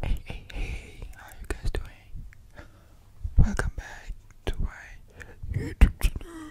Hey, hey, hey, how you guys doing? Welcome back to my YouTube channel.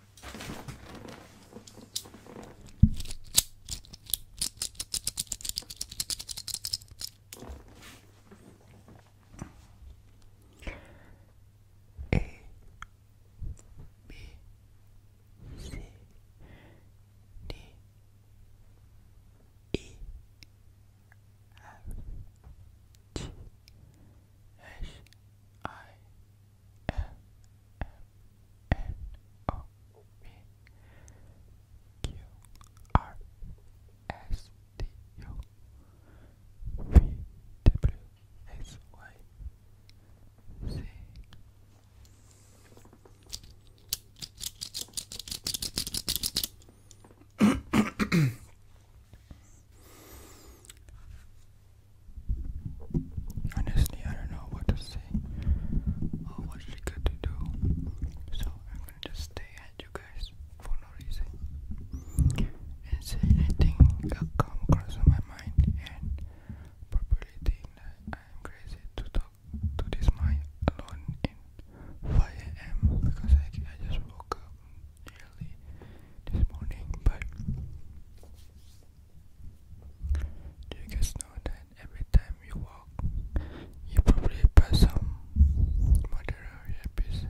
A B C D E F G H I N N O P Q R S T U V W S Y Z. Honestly, I don't know what to say or what's good do, so I'm gonna just stay at you guys for no reason and say anything that come across my mind and probably I'm crazy to talk to this mic alone in 5 a.m. because I, I just woke up early this morning, but. Do you guys know that every time you walk, you probably pass some murderer, rapist,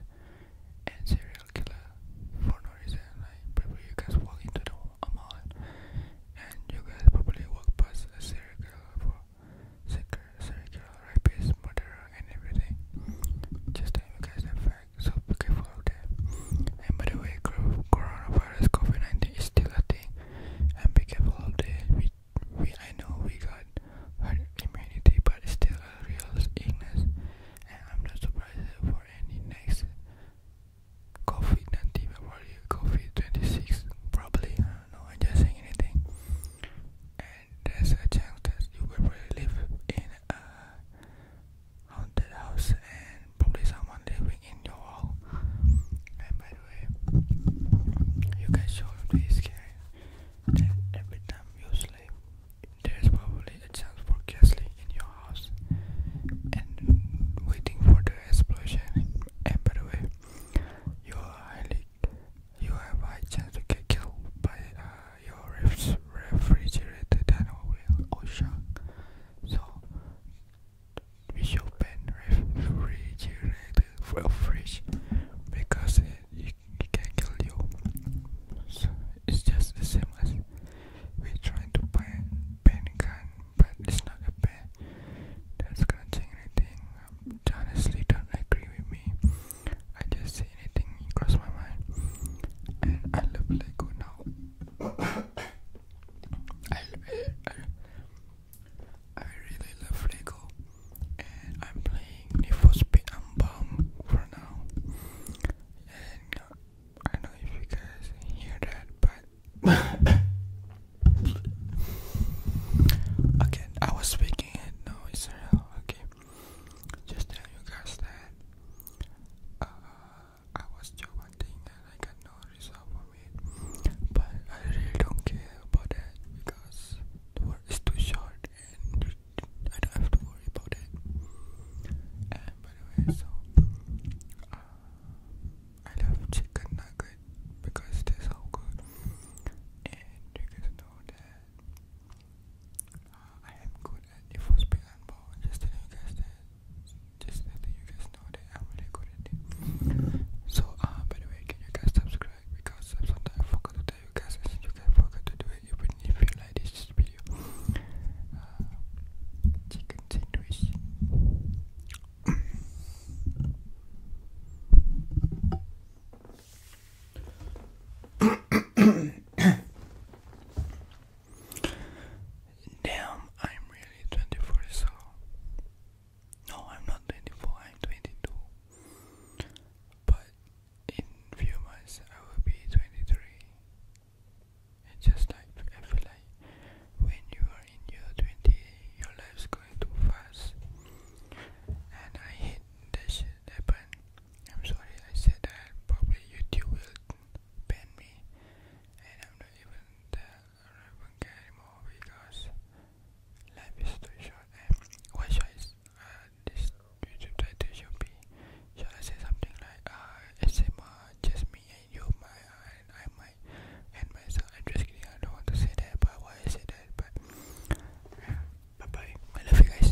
and serial killer for no reason? Like, probably you guys walk into the a mall, and you guys probably walk past a serial killer for serial killer, rapist, murderer, and everything. Just that you guys have like so be careful of that and by the way coronavirus covid-19 is still a thing and be careful of that we, we i know we got immunity but it's still a real illness and i'm not surprised for any next covid-19 probably covid-26 probably i i'm just saying anything and there's a chance that you will live in a haunted house and probably someone living in your house. And by the way, you guys shouldn't be scared that every time you sleep, there's probably a chance for ghastly in your house and waiting for the explosion. And by the way, you are highly, you have high chance to get killed by uh, your refrigerator, dino wheel, or shark. So visual pen refrigerator for fridge because it, it, it can kill you. So it's just the same as we trying to pen pen gun, but it's not a pen that's gonna anything. honestly, don't agree with me. I just say anything cross my mind, and I love Lego now. I, I, really love Lego and I'm playing Need for Speed Unbound for now and uh, I know if you guys hear that but okay I was speaking it no it's okay just tell you guys that uh, I was joking and I got no result for it. But I really don't care about that because the word is too short and I don't have to worry about it. And by the way, so uh, I love chicken nugget because they're so good. And you guys know that uh, I am good at the force pick and ball. Just telling you guys that. Just letting you guys know that I'm really good at it. So, uh, by the way, can you guys subscribe? Because sometimes I forgot to tell you guys, and you guys forgot to do it even if you like this video. Uh, chicken sandwich. Damn, I'm really 24 So, No, I'm not 24, I'm 22. But in few months I will be 23. It's just like, I feel like when you are in your 20, your life's going too fast. And I hate that shit happen. I'm sorry I said that probably YouTube will ban me and I'm not even there I don't even care anymore because life is too short and why should I uh, this YouTube title should be should I say something like uh SMR just me and you my uh, and I might and myself I'm just kidding I don't want to say that but why I say that but uh, bye bye I love you guys